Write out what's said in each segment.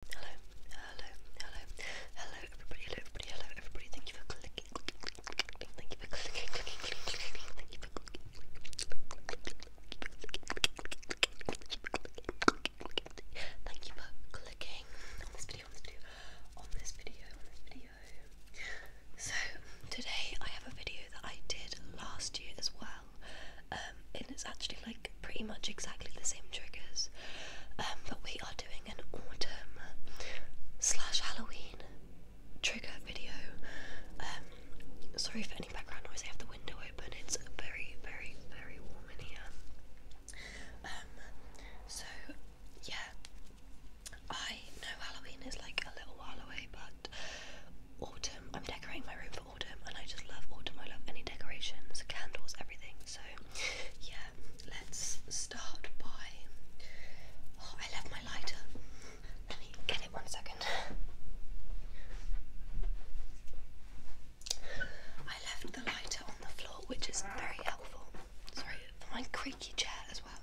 Hello, hello, hello, hello everybody, hello everybody, hello everybody. Thank you for clicking, clicking, clicking, thank you for clicking, clicking, clicking, clicking, thank you for clicking, thank you for clicking on this video, on this video, on this video, on this video. So today I have a video that I did last year as well. Um, um, and it's actually like pretty much exactly the same triggers. Um, but we are doing an autumn slash Halloween trigger video. Um, sorry for any background noise. I have the window open. It's very, very, very warm in here. so yeah, I know Halloween is like a little while away, but autumn. I'm decorating my room autumn and I just love autumn. I love any decorations, candles, everything. So yeah, let's start by oh, I left my lighter. get it one second. I left the lighter on the floor, which is very helpful. Sorry, for my creaky chair as well.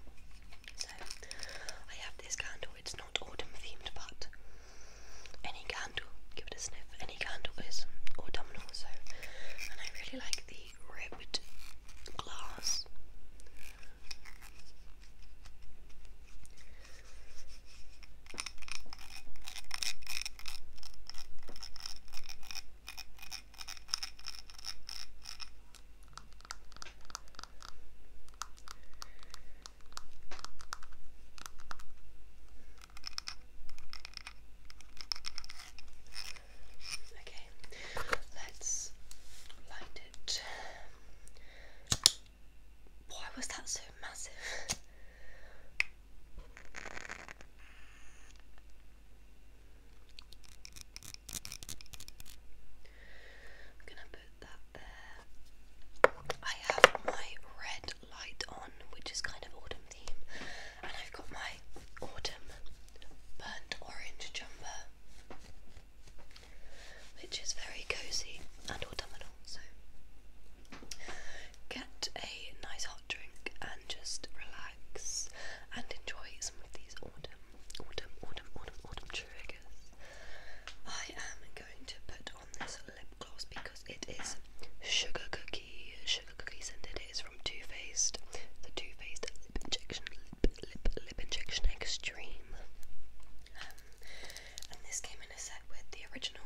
So I have this candle, it's not autumn themed but any candle, give it a sniff. Any candle is autumnal, so and I really like the ribbed glass. Okay, let's light it. Why was that so massive? I'm gonna put that there. I have my red light on, which is kind of autumn theme. And I've got my autumn burnt orange jumper, which is very cozy and autumnal. So get a nice hot drink and just relax and enjoy some of these autumn, autumn, autumn, autumn, autumn triggers. I am going to put this lip gloss because it is sugar cookie, sugar cookie scented. It is from Too Faced, the Too Faced Lip Injection, Lip, Lip, Lip Injection Extreme. Um, and this came in a set with the original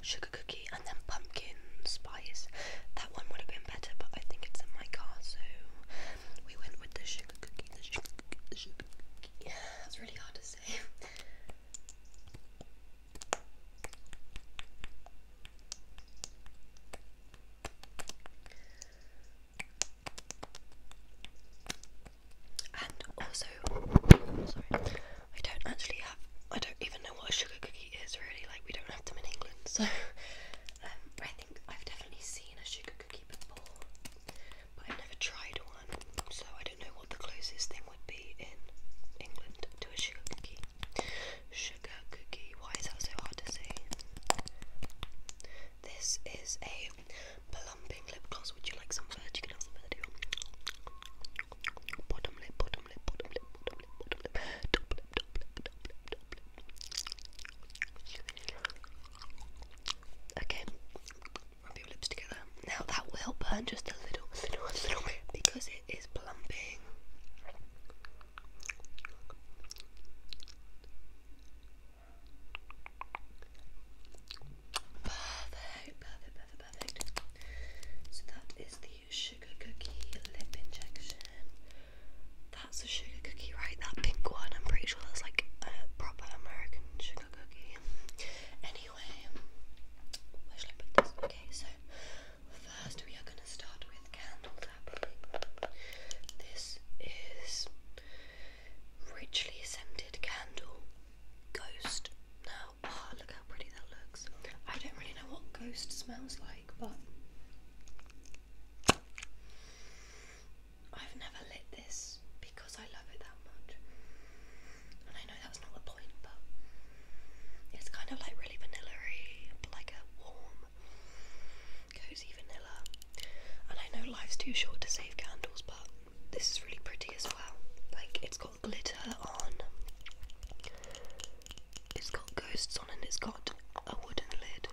sugar cookie and then pumpkin spice. That one would have been better, but I think it's in my car, so we went with the sugar cookie, the sugar cookie. Yeah, that's really hard to say. And also, sorry, I don't actually have, I don't even know what a sugar cookie is really, like we don't have them in England, so um, I think I've definitely seen a sugar cookie before, but I've never tried one, so I don't know what the closest thing would be in England to a sugar cookie. Sugar cookie. Why is that so hard to say? This is a plumping lip gloss. Would you like some You can have some Okay, rub your lips together. Now that will burn just a little, little, little bit because it is plumping. Perfect, perfect, perfect, perfect. So that is the sugar cookie lip injection. That's a sugar cookie, right? That pink one. I'm pretty sure that's like a proper American sugar cookie. Anyway. Okay, so first we are going to start with candle This is richly scented candle ghost. Now, oh, look how pretty that looks. I don't really know what ghost smells like, but. I've never lit this because I love it that much. And I know that's not the point, but it's kind of like really vanilla but like a warm, cozy vanilla. And I know life's too short to save candles, but this is really pretty as well. Like, it's got glitter on, it's got ghosts on, and it's got a wooden lid.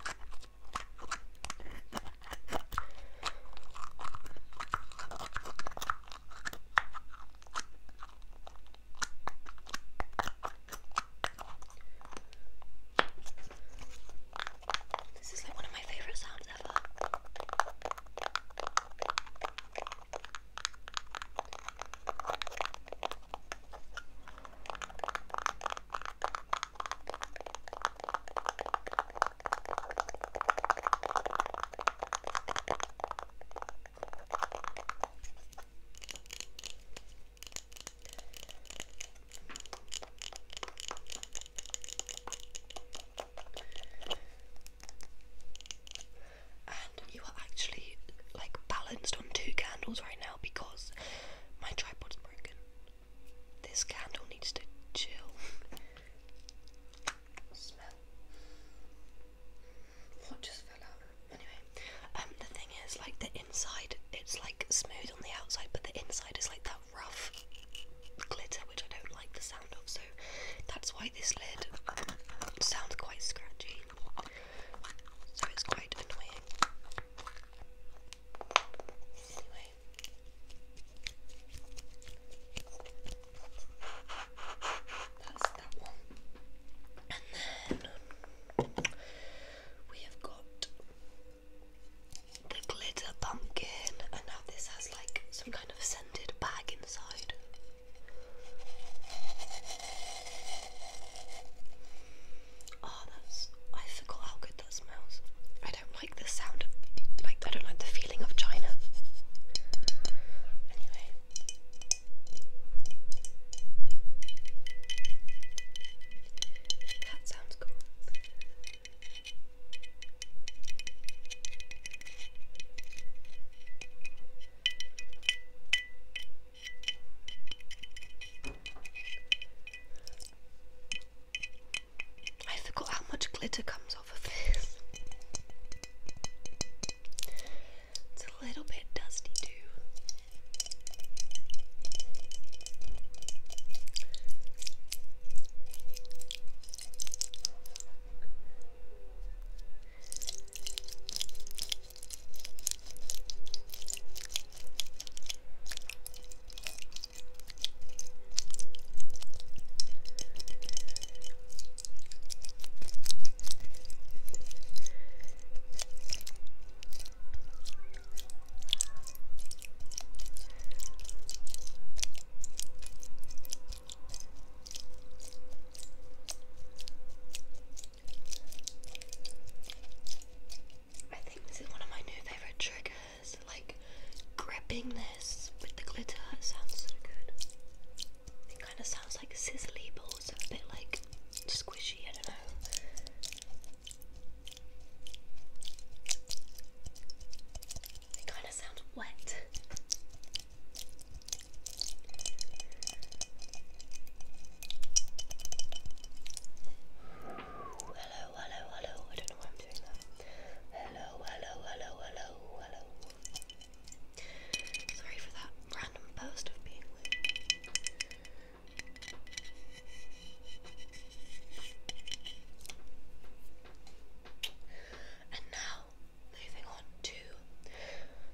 This is like one of my favorite sounds ever. And you are actually like balanced on two candles right now because my tripod's broken. This candle needs to chill. Smell. What just fell out? Anyway, um, the thing is, like the inside, it's like smooth on the outside, but the inside is like that rough glitter, which I don't like the sound of. So that's why this lid sounds quite scratchy. So it's quite annoying. Anyway. That's that one. And then we have got the glitter pumpkin, and now this has like some kind of scented bag inside. Oh, that's. I forgot how good that smells. I don't like the sound of. Like, I don't like the feeling of China. Anyway, that sounds cool. I forgot how much glitter comes off of this. It's a little bit dusty too. I think this is one of my new favorite triggers. Like gripping this with the glitter sounds so good. It kind of sounds like sizzly, but also a bit like squishy. I don't know. It kind of sounds wet. Hello, hello, hello. I don't know why I'm doing that. Hello, hello, hello, hello, hello. Sorry for that random post of being And now, moving on to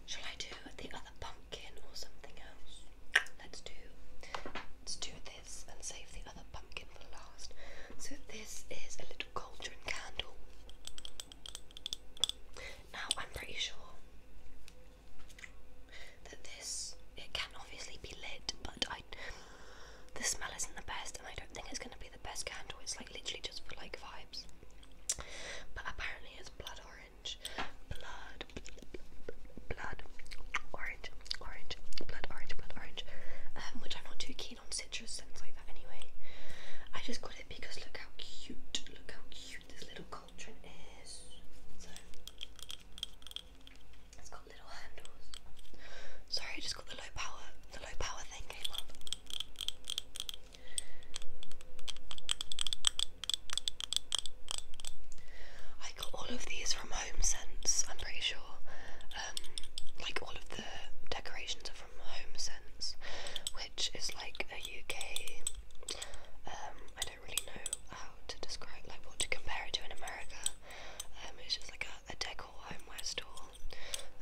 shall I do the other pumpkin or something else? Let's do let's do this and save the other pumpkin for last. So this is a little cauldron candle. Now I'm pretty sure that this it can obviously be lit, but I the smell isn't the best, and I don't think it's gonna be the best candle. It's like literally just for like vibes. But apparently it's blood orange, blood, blood, blood orange, orange, blood orange, blood orange, um, which I'm not too keen on citrus scents like that anyway. I just got it because look how cute, look how cute this little cauldron is. So it's got little handles. Sorry, just got the low power, the low power thing came up. I got all of these from Home Sense, I'm pretty sure. Um, like all of the decorations from Home Sense, which is like a UK. Um, I don't really know how to describe, like what to compare it to in America. Um, it's just like a, a decor homeware store.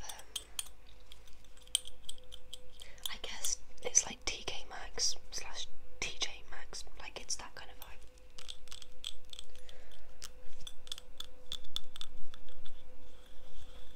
Um, I guess it's like TK Maxx slash TJ Maxx, like it's that kind of vibe.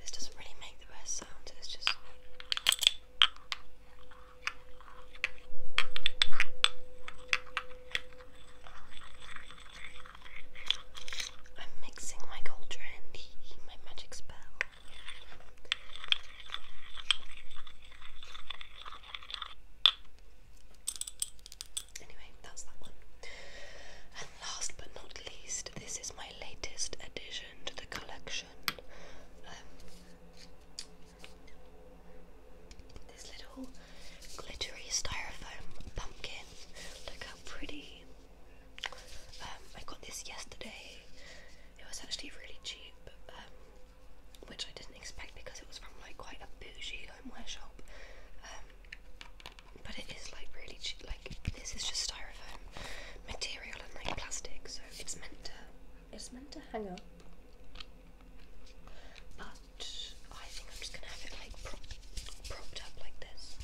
This doesn't really make the best sound, it's just. I'm mixing my gold trendy, my magic spell. Anyway, that's that one. And last but not least, this is my latest addition to the collection. Um, this little glittery styrofoam pumpkin. Look how pretty. Um, I got this yesterday. It was actually really cheap, um, which I didn't expect because it was from like quite a bougie homeware shop. Um, but it is like really cheap. Like this is just styrofoam material and like plastic, so it's meant to it's meant to hang up. But I think I'm just gonna have it like propped up like this.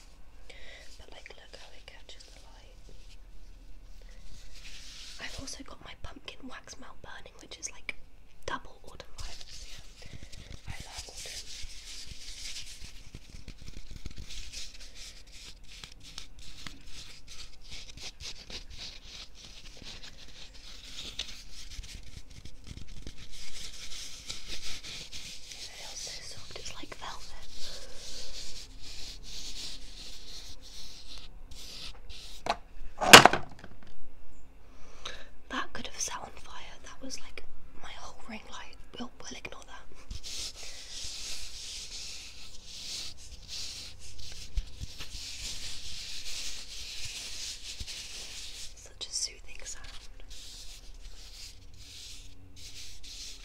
But like, look how it catches the light. I've also got my pumpkin wax melt burning, which is like double autumn vibes. I love autumn it's like velvet. That could have set on fire, that was like my whole ring light. We'll, we'll ignore that. Such a soothing sound.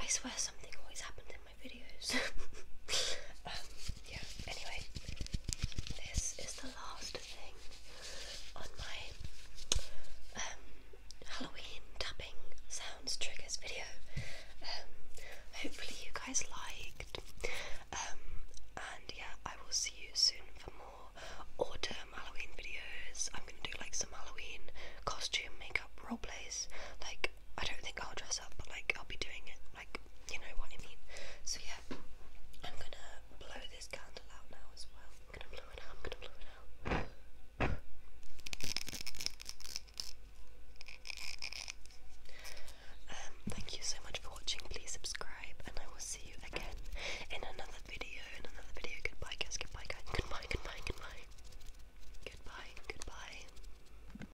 I swear something always happens in videos. Um, yeah, anyway, this is the last thing on my um, Halloween tapping sounds triggers video. Um, hopefully, you guys liked. and yeah, I will see you soon for more autumn Halloween videos. I'm gonna do like some Halloween costume makeup role plays. Like, I don't think I'll dress up, but like, I'll be doing it like you know what I mean. So yeah, I'm gonna blow this candle out now as well. I'm gonna blow it out. I'm gonna blow it out. Um, thank you so much for watching. Please subscribe, and I will see you again in another video. In another video. Goodbye, guys. Goodbye, guys. Goodbye. Goodbye. Goodbye. Goodbye. Goodbye.